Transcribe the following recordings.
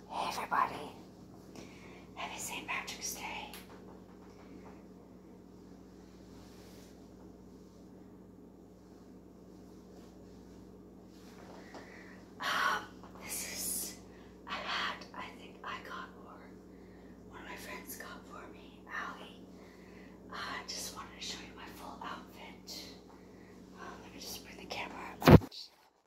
Hey everybody, happy St. Patrick's Day. Um, this is a hat I think I got or one of my friends got for me, Allie. Uh, I just wanted to show you my full outfit. Um, let me just bring the camera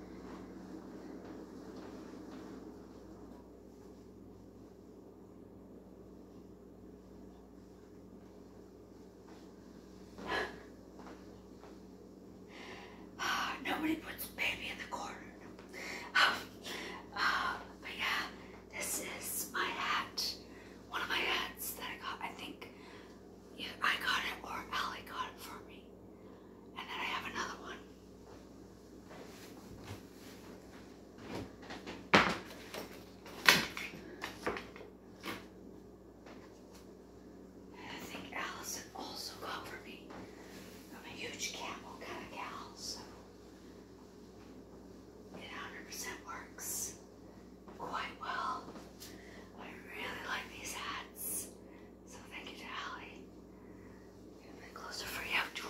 Nobody puts a baby in the corner. Um, uh, but yeah, this is my hat. One of my hats that I got. I think I got it or Allie got it for me. And then I have another one. And I think Allison also got for me. I'm a huge camel kind of gal, so it 100 works quite well. I really like these hats. So thank you to Allie. And a bit closer for you too.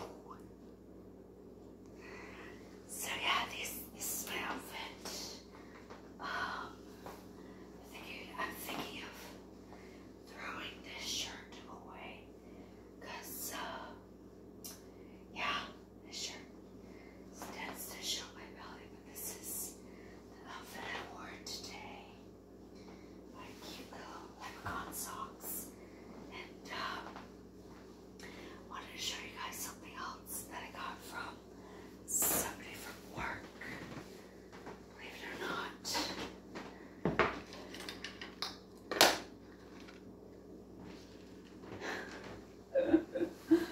So yeah, this, is my outfit. Um, I'm I'm thinking of throwing this shirt away. Cause uh, yeah, this shirt stands to show my belly, but this is the outfit I wore today my cute little leprechaun socks. And uh, wanted to show you guys something else that I got from somebody from work. Believe it or not.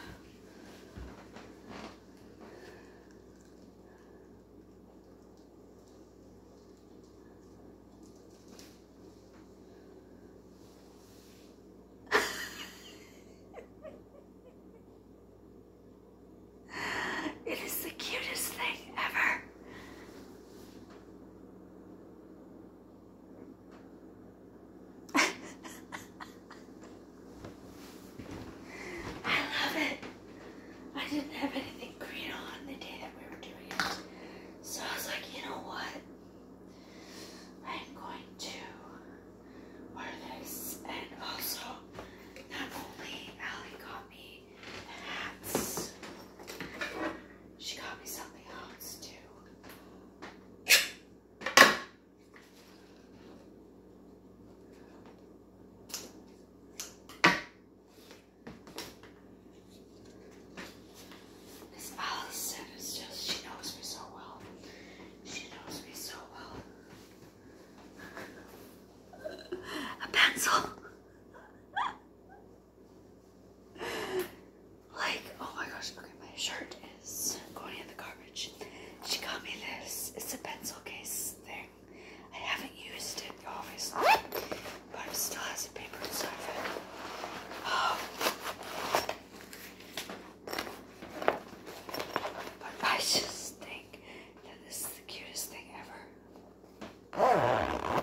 it is the cutest thing ever. I love it. I didn't have anything green on the day that we were doing it. So I was like, you know what? I'm going to wear this. And also, not only Allie got me hats, she got me something else too. This Alice said is just, she knows me so well. She knows me so well. A pencil. like, oh my gosh, okay, my shirt is going in the garbage. She got me this. It's a pencil case There." I haven't used it, obviously, but it still has a paper inside of it. Oh. but I just think that this is the cutest thing ever.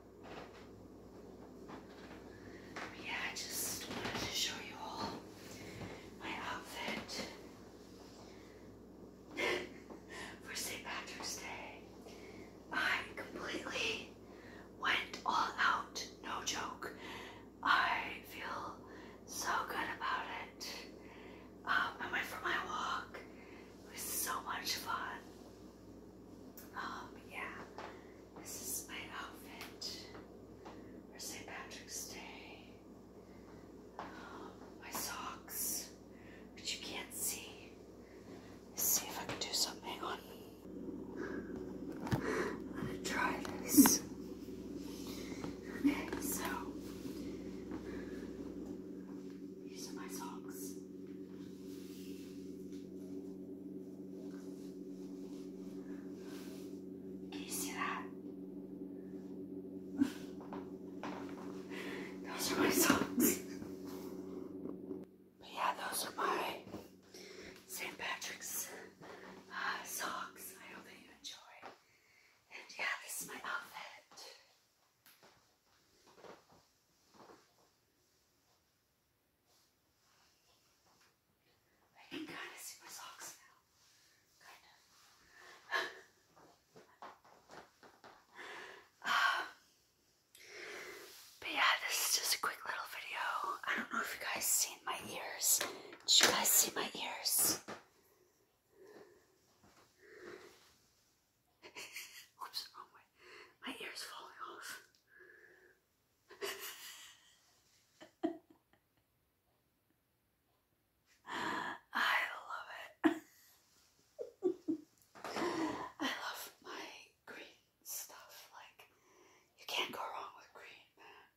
yeah, I just wanted to show you all my outfit for St. Patrick's Day. I completely went all out, no joke. I feel so good about it. Um, I went for my walk. It was so much fun. Um, yeah. This is my outfit for St. Patrick's Day. Um, my socks, but you can't see. see if I can do something on. I'm gonna try this. Okay, so these are my socks. Do that? Those are my socks. But yeah, those are my St. Patrick's uh, socks. I hope you enjoy. And yeah, this is my outfit. I but yeah, this is just a quick little video. I don't know if you guys seen my ears. Did you guys see my ears? my ear's falling off. I love it. I love my green stuff. Like, you can't go wrong with green, man.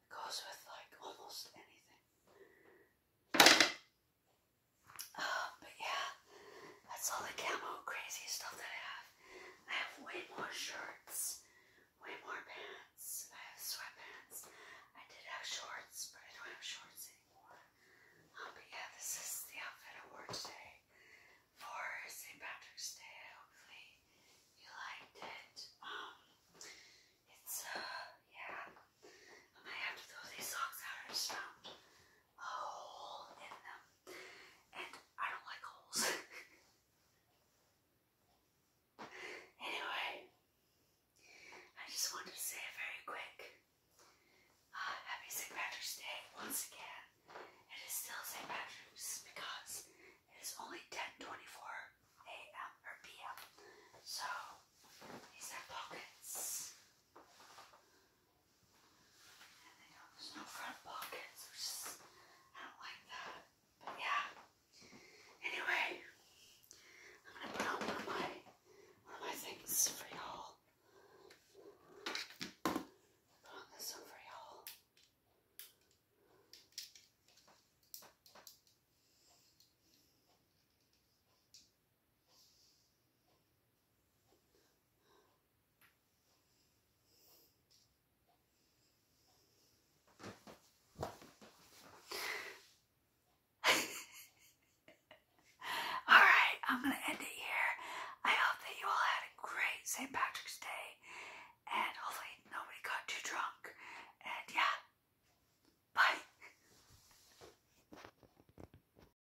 It goes with, like, almost anything. Uh, but yeah, that's all the camo crazy stuff that I have. I have way more shirts, way more pants. I have sweatpants. I did have shorts, but I don't have shorts anymore. Um, but yeah, this is the outfit I wore today for St. Patrick's Day. Hopefully you liked it. Um, it's, uh, yeah. I might have to throw these socks out. I just a hole in them. And I don't like holes. anyway, I just wanted to say it very quick uh, Happy St. Patrick's Day once again. It is still St. Patrick's because it is only 10:24 a.m. or p.m. So these are pockets. And there's no front pockets, I don't like that. But yeah. Anyway, I'm gonna put on one of my, one of my things for y'all. Put on this for y'all. all right, I'm going to end it here. I hope that you all had a great St. Patrick's Day, and hopefully nobody got too drunk. And yeah, bye.